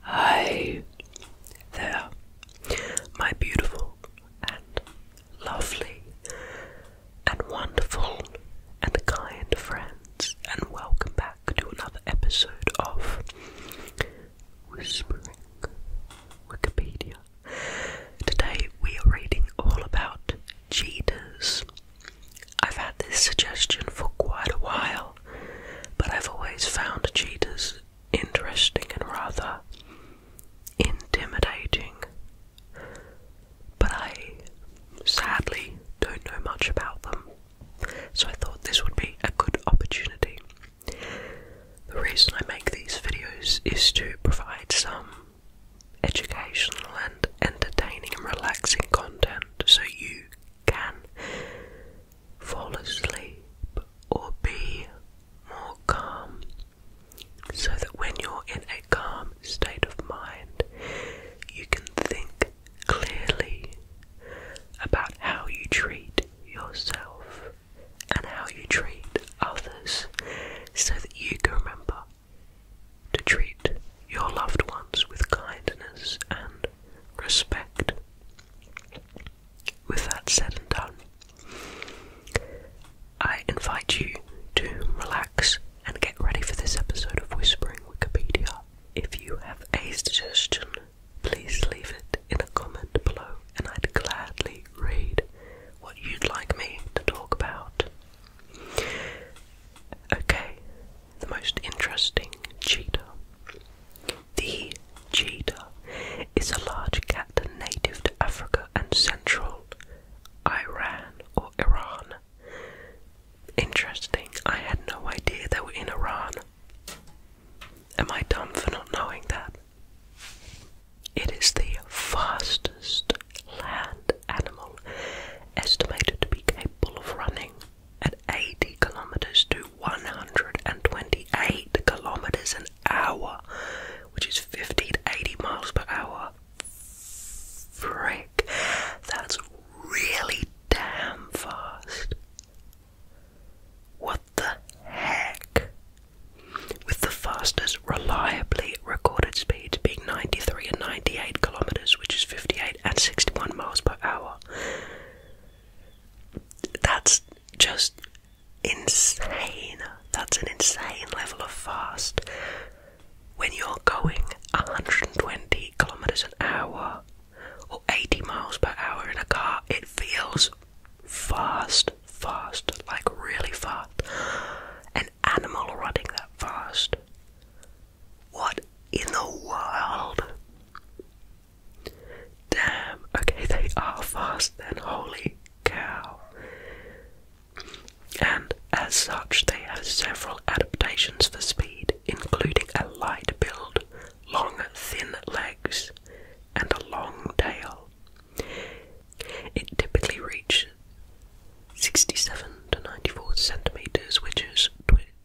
Hi there, my beautiful and lovely and wonderful and kind friends, and welcome back to another episode of Whispering Wikipedia. Today we are reading all about cheaters. I've had this suggestion for quite a while but I've always found cheetahs interesting and rather intimidating. But I sadly don't know much about them, so I thought this would be a good opportunity. The reason I make these videos is to provide some educational and entertaining and relaxing content so you can fall asleep or be more calm, so that when you're in a calm state of mind, you can think clearly about how you treat yourself and how you treat others, so that you can remember to treat your loved ones with kindness and respect. With that said and done, I invite you to relax and get ready for this episode of Whispering Wikipedia. If you have a suggestion, please leave it in a comment below and I'd gladly read what you'd like me to talk about. Okay, the most interesting cheater. The cheetah is a large cat native to Africa and central Iran or Iran. Interesting, I had no idea they were in Iran. Am I dumb for not knowing that? It is the fastest land animal estimated to be capable of running at 80 kilometers to 128 kilometers an hour, which is 50 to 80 miles per hour. Frick, that's really damn fast. What the heck? With the fastest reliably recorded speeds being 93 and 98 kilometers, which is 58 and 61 miles per hour. That's just insane. That's an insane level of fast. When you're going 120 kilometers an hour or 80 miles per hour in a car, it feels fast, fast, like really fast. An animal running that fast. What in the world? Damn, okay, they are fast then, holy cow. And as such, they have several adaptations for speed, including a light build, long, thin legs, and a long tail. It typically reaches 67 to 94 centimeters, which is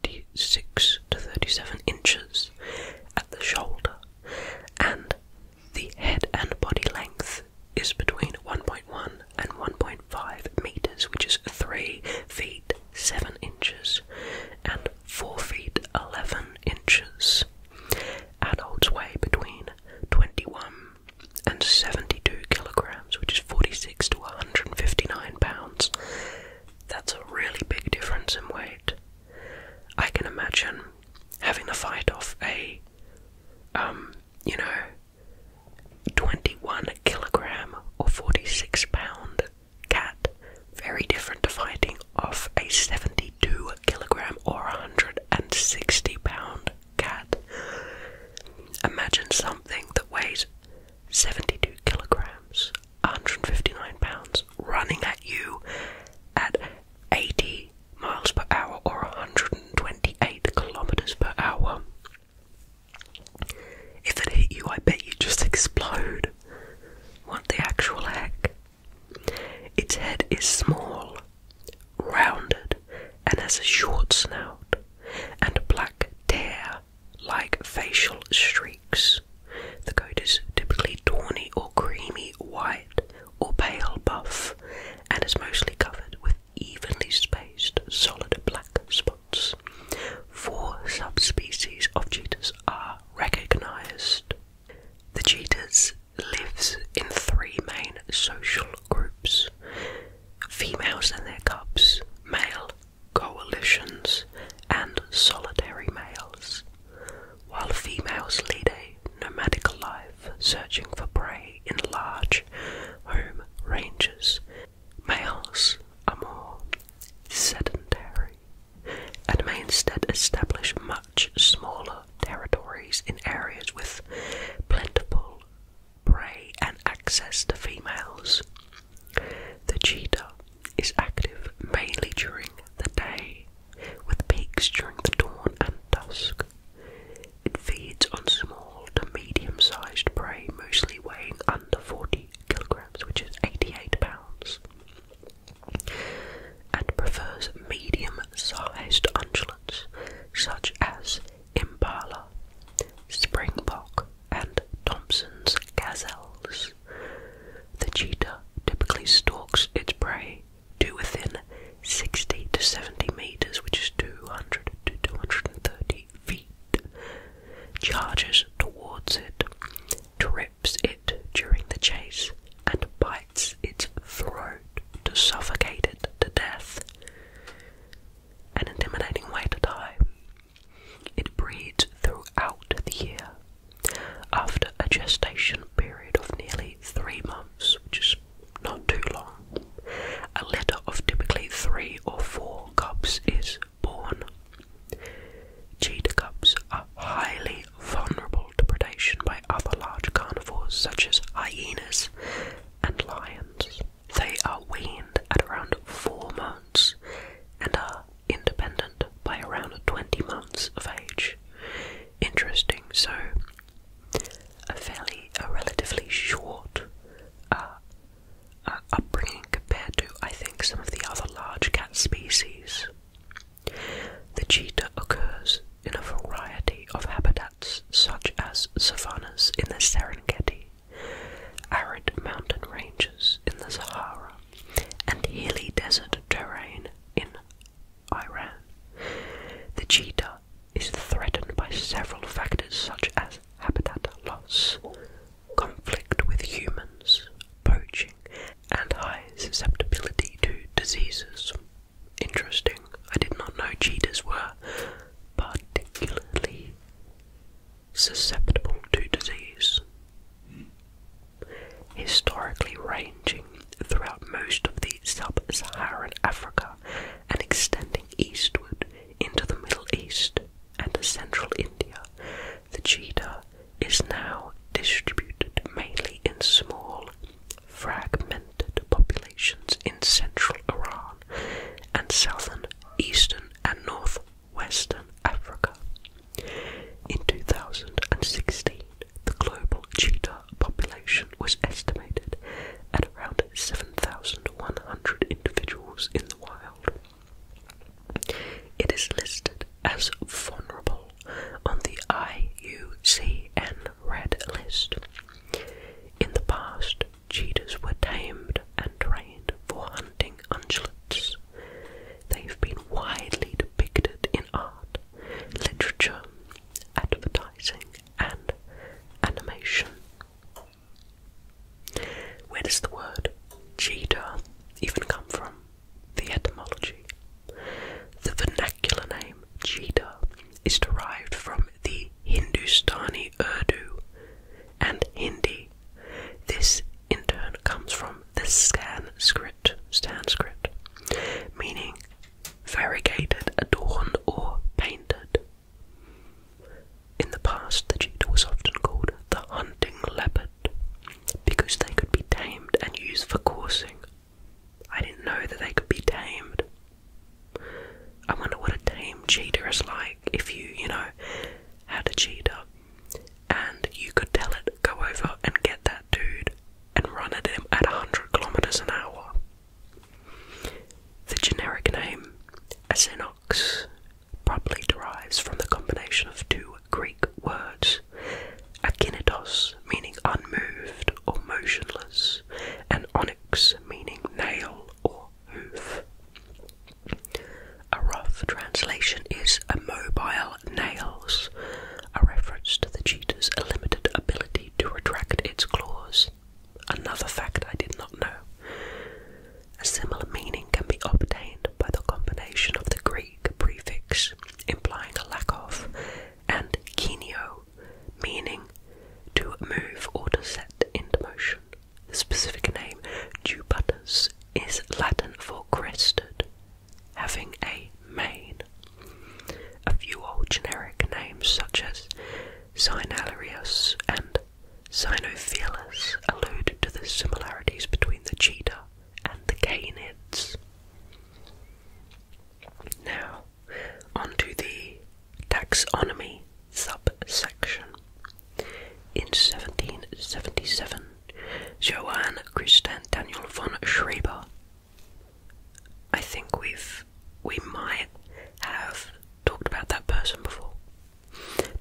36 to 37 inches at the shoulder, and the head and body length is between 1.1 and 1.5 meters, which is 3 feet 7 inches and 4 feet 11 inches. Adults weigh between 21 and 72 kilograms, which is 46 to 159 pounds, that's a really big difference in weight. I can imagine having to fight off a, um, you know, 21 kilogram or 46 pound cat, very different to fighting off a 72 kilogram or 160 pound cat. Imagine something that weighs 72 kilograms, 159 pounds, running at you at 80 miles per hour or 128 kilometers per hour. If it hit you, I bet you just explode. What the actual heck? Its head is small, rounded, and has a short snout and a black tear like facial streaks. The coat is typically tawny or creamy white or pale buff and is mostly covered with evenly spaced solid black spots. Four subspecies of cheetahs are recognized. The cheetahs lives in three main social groups. Females and their cubs, male coalitions, and solitary males, while females lead a nomadic life searching for prey in large home ranges. Males are more sedentary and may instead establish much smaller territories in areas with plentiful prey and access to females. The cheetah is active mainly during the day, with peaks during the dawn and dusk. It feeds on small to medium sized prey, mostly weighing under 40 kilograms, which is 88 pounds, and prefers medium sized ungulates such as impala, springbok, and Thompson's gazelles. The cheetah typically stalks its prey to within 60 to 70 meters, which is 200 to 230 feet, charges towards it, trips it during the chase, and bites its throat to suffocate it to death. An intimidating way to die. It breeds throughout the year. After a gestation period of nearly three months, which is not too long, a litter of typically three or four cubs is born. Cheetah cubs are highly vulnerable to predation by other large carnivores such as hyenas and lions. They are weaned at around four months and are independent by around 20 months of age. Interesting, so a fairly, a relatively short uh, uh, upbringing compared to, I think, some of the other large cat species. The cheetah occurs in a variety of habitats, such as savannas in the Serengeti, arid mountain ranges in the Sahara, and hilly desert terrain in Iran. The cheetah is threatened by several factors such as habitat loss, conflict with humans, poaching, and high susceptibility to diseases. Interesting, I did not know cheetahs were particularly susceptible to disease, historically ranging throughout most of the sub-Saharan Africa and extending eastward into the Middle East and central India. The cheetah is now distributed mainly in small, fragmented populations in central Iran and southern, eastern, and north Western Africa. In 2016, the global cheetah population was estimated at around 7,100 individuals in the wild. It is listed as vulnerable on the IUCN Red List. In the past, cheetahs were tamed and trained for hunting ungulates, They've been widely depicted in art, literature, advertising, and animation. Where does the word cheetah even come from? The etymology. The vernacular name cheetah is derived from the Hindustani Urdu and Hindi. This in turn comes from the Sanskrit, Sanskrit, meaning variegated, adorned, or painted. In the past, the cheetah was often called the hunting leopard because they could be tamed and used for coursing. I didn't know that they could be tamed. I wonder what a tame cheetah is like if you, you know, had a cheetah and you could tell it, go over and get that dude and run at him at 100 kilometers an hour. The generic name, Asinox, probably derives from the combination of two Greek words, akinitos, meaning unmoved or motionless, and onyx, meaning nail or hoof. A rough translation is a mobile nails, a reference to the cheetah's limited ability to retract its claws. Another fact I did not know. A similar meaning can be obtained by the combination of the Greek prefix implying a lack of and "kineo," meaning to move or to set into motion. The specific name, jubatus, is Latin for crested, having a mane. A few old generic names such as Cynalarius and Cynofelus allude to the similarities between the cheetah and the canids. Now, onto the taxonomy subsection. In 1777, Johann Christian Daniel von Schreber. I think we've we might have talked about that person before.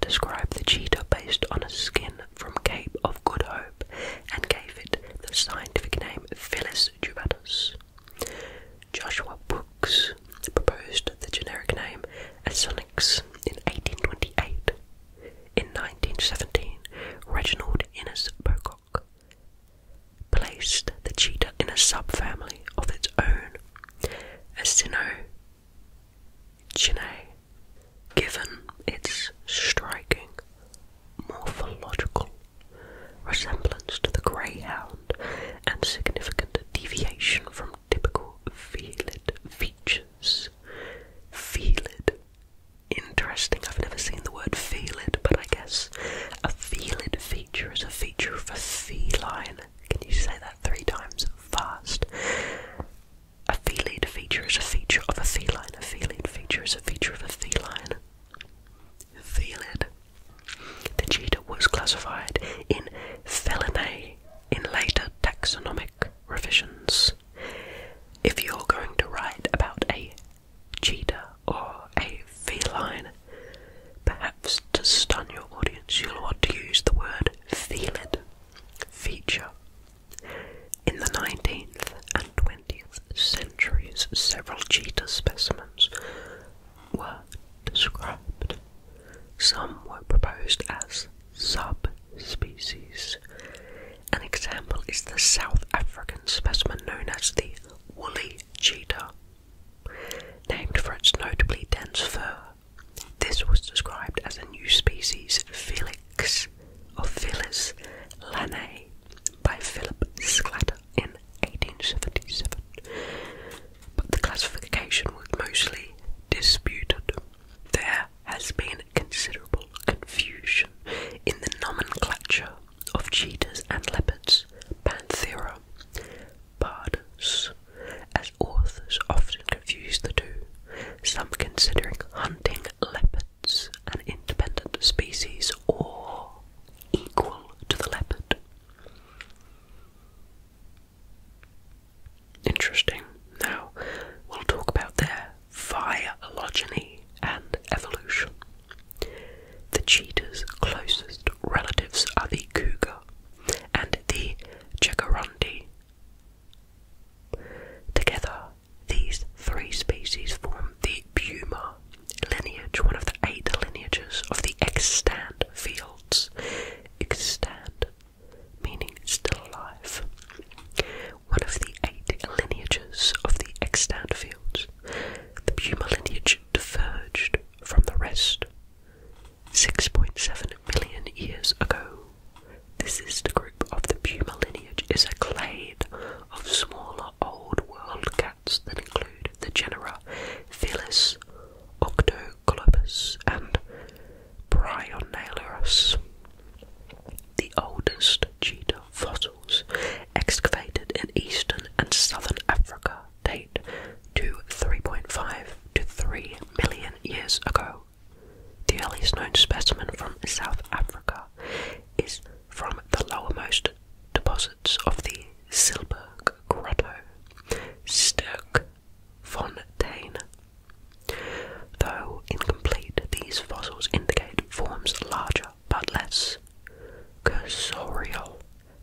Described the cheetah based on a skin from Cape of Good Hope and gave it the scientific name Phyllis jubatus. Joshua Brooks proposed the generic name as in 1828. In 1917, Reginald Innes Pocock placed the cheetah in a subfamily of its own, Acinochinae, given its striking morphological resemblance to the greyhound and significant deviation from typical felid features. Felid. Interesting, I've never seen the word felid, but I guess a felid feature is a feature of a feline. Can you say that three times fast? A felid feature is a feature of a feline. A felid feature is a feature of a feline. Felid. The cheetah was classified in Felinae in later taxonomic revisions. If you're going to write about a cheetah or a feline, perhaps to stun your audience, you'll want to use the word felid, feature. In the 19th and 20th centuries, several cheetah specimens were described. Some were proposed as subspecies. An example is the South African specimen known as the woolly cheetah, named for its notably dense fur. This was described as a new species, Felix or Felis lanae, by Philip Sclater in 1877, but the classification was mostly disputed. There has been considerable confusion in the nomenclature of cheetahs and leopards, Panthera pardus, as authors often confuse the two, some considering hunting leopards an independent species or equal to the leopard. Interesting. Now, we'll talk about their phylogeny and evolution. The cheetah's closest relatives are the cougar and the jaguarundi. Together, these three species form the puma lineage, one of the eight lineages of the extant fields. Extant meaning still alive. One of the eight lineages of the extant fields, the puma lineage diverged from the rest 6.7 million years ago. This is the group of the puma lineage is a clade of smaller old world cats that include the genera Felis, Octo, Golubus and Bryonailurus. The oldest cheetah fossils excavated in eastern and southern Africa date to 3.5 to 3 million years ago. The earliest known specimen from South Africa is from the lowermost deposits of the Silberg Grotto, Von Fontaine. Though incomplete, these fossils indicate forms larger but less cursorial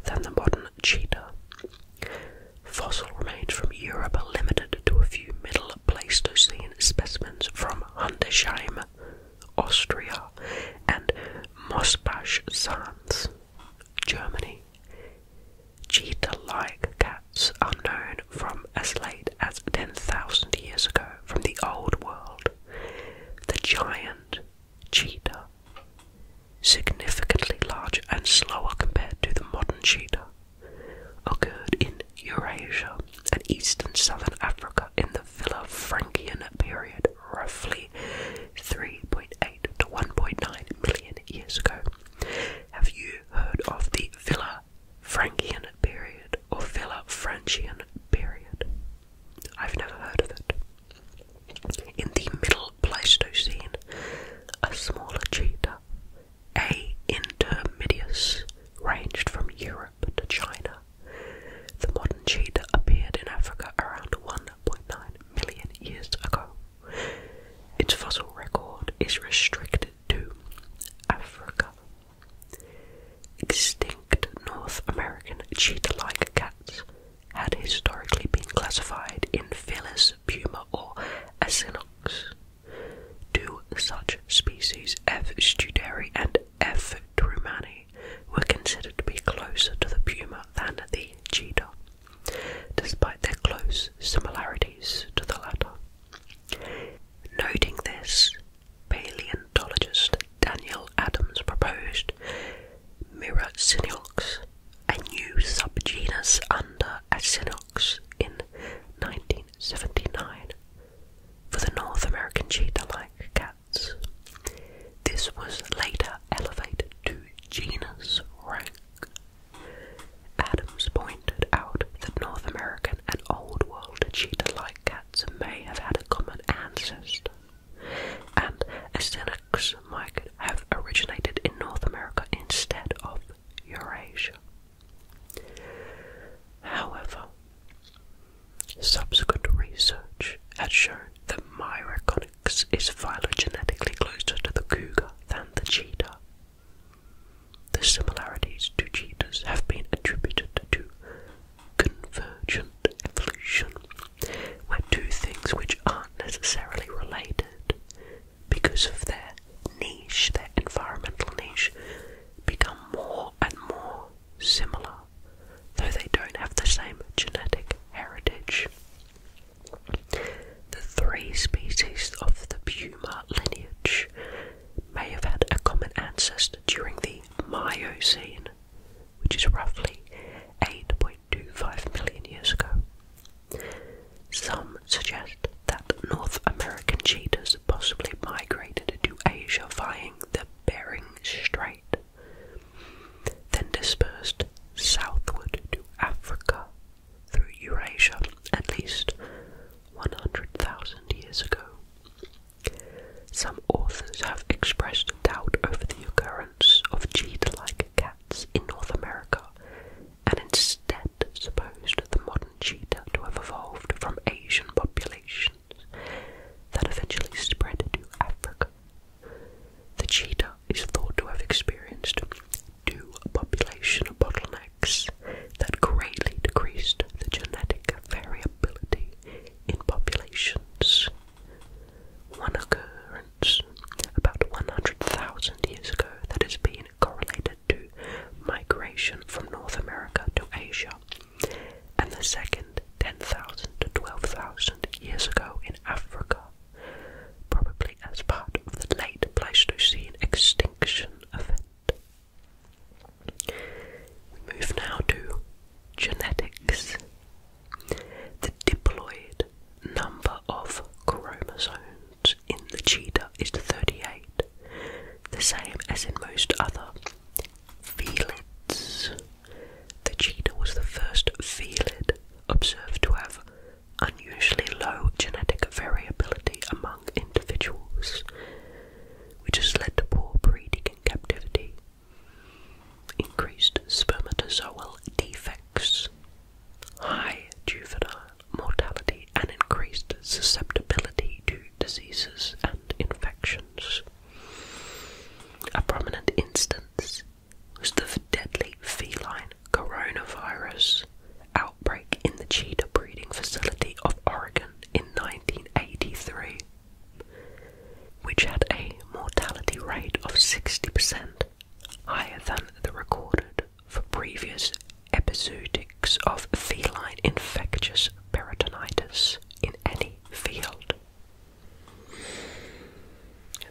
than the modern cheetah. Fossil remains from Europe are limited to a few Middle Pleistocene specimens from Hundesheim, Austria, and Mosbach Sands, Germany. Cheetah-like cats are known from as late as 10,000 years ago from the Old World. The giant cheetah, significantly larger and slower compared to the modern cheetah, occurred in Eurasia and eastern southern Africa in the Villafrankian period, roughly 3.8 to 1.9 million years ago. Have you heard of the Villa Frankian period or Villa Francian period? I've never heard of it. In the Middle Pleistocene, a smaller cheetah, A. intermedius, ranged from Europe to China. The modern cheetah appeared in Africa around 1.9 million years ago. Its fossil record is restricted to Africa. Extinct North American cheetah-like cats had historically been classified in Felis, Puma, or Asinox. Two such species, F. studeri and F. drumani, were considered to be closer to the puma than the cheetah despite their close similarities to the latter. Noting this, paleontologist Daniel Adams proposed Myracinox, a new subgenus under Acinox, in 1979 for the North American cheetah-like cats. This was later elevated to genus rank Adams pointed out that North American and Old World cheetah-like cats may have had a common ancestor, and Astyanax might have originated in North America instead of Eurasia. However, subsequent research has shown that Myraconix is phylogenetically closer to the cougar than the cheetah, the similarities to cheetahs have been attributed to convergent evolution, where two things which aren't necessarily related because of their niche, their environmental niche, become more and more similar, though they don't have the same genetic heritage. The three species of the puma lineage may have had a common ancestor during the Miocene, which is roughly 8.25 million years ago. Some suggest that North American cheetahs possibly migrated to Asia via the Bering Strait, then dispersed southward to Africa through Eurasia at least 100,000 years ago. Some authors have expressed doubt over the occurrence of cheetah-like cats in North America and instead supposed the modern cheetah to have evolved from Asian populations that eventually spread to Africa. The cheetah is thought to have experienced to population bottlenecks that greatly decreased the genetic variability in populations. One occurrence about 100,000 years ago that has been correlated to migration from North America to Asia, and the second 10,000 to 12,000 years ago in Africa probably as part of the late Pleistocene extinction event. We move now to genetics. The diploid number of chromosomes in the cheetah is 38, the same as in most other felids. The cheetah was the first felid observed to have unusually low genetic variability among individuals, which has led to poor breeding in captivity, increased spermatozoal defects, high juvenile mortality, and increased susceptibility to diseases and infections. A prominent instance was the deadly feline coronavirus outbreak in the cheetah breeding facility of Oregon in 1983, which had a mortality rate of 60%, higher than the recorded for previous episodics of feline infectious peritonitis in any field.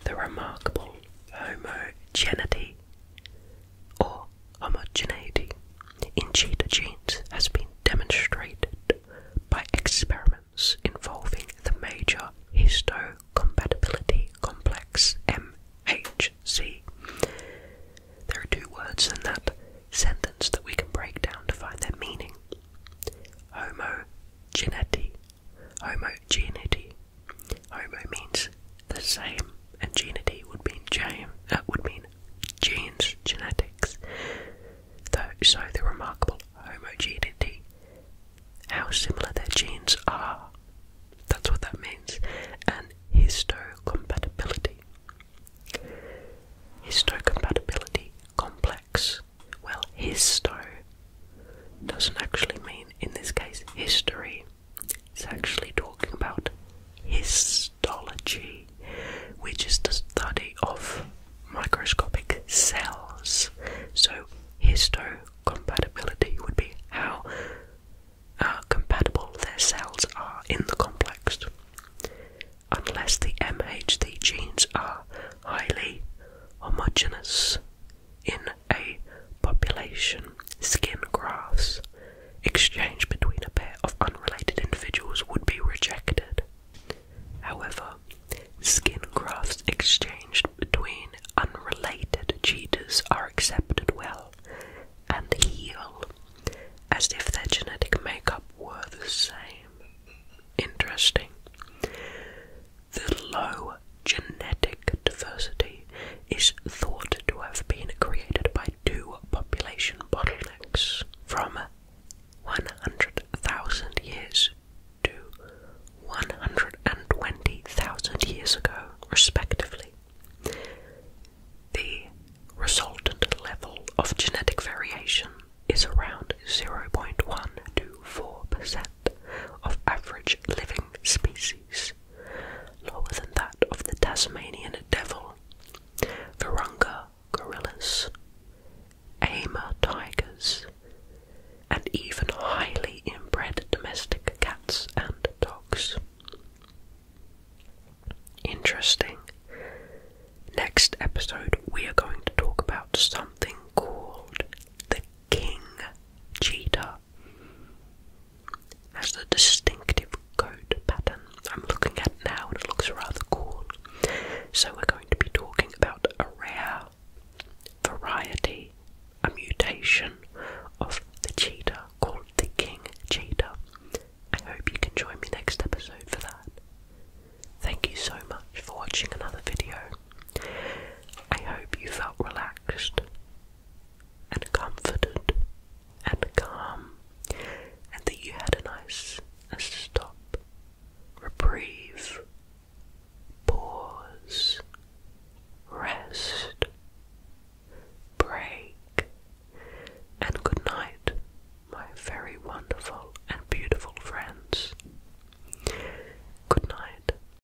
The remarkable homogeneity or homogeneity in cheetah genes has been demonstrated by experiments involving the major histocompatibility complex MHC. There are two words in that sentence that we can break down to find their meaning. Homogeneity homogeneity. Homo means the same, and genity would mean gene, uh, would mean genes, genetics. Though, so the remarkable homogeneity, how similar their genes are. That's what that means. And histo compatibility. Histo compatibility complex. Well, histo doesn't actually mean, in this case, history. It's actually talking about histology, which is the study of microscopic cells. So, histocompatibility would be how uh, compatible their cells are in the complex. Unless the MHD genes are highly homogeneous, in a population, skin grafts exchanged between a pair of unrelated individuals would be rejected. However, skin grafts exchanged between unrelated cheetahs are accepted well and heal as if their genetic makeup were the same. Interesting. The low genetic diversity is thought to have been created by two population bottlenecks from 100,000 years to 120,000 years ago, respectively. The resultant level of genetic variation is around 0.1 to 4% of average living species, lower than that of the Tasmanian devil, Virunga gorillas, Ama tigers, and even highly inbred domestic cats and dogs. Interesting. Next episode, we are going to talk about something called the king cheetah. Has the distinctive coat pattern I'm looking at now, and it looks rather cool. So, we're going to be talking about a rare variety, a mutation of the cheetah called the king cheetah. I hope you can join me next episode for that. Thank you so much for watching another video. I hope you felt relaxed and comforted and calm, and that you had a nice stop, reprieve, pause, rest, break, and good night, my very wonderful and beautiful friends. Good night,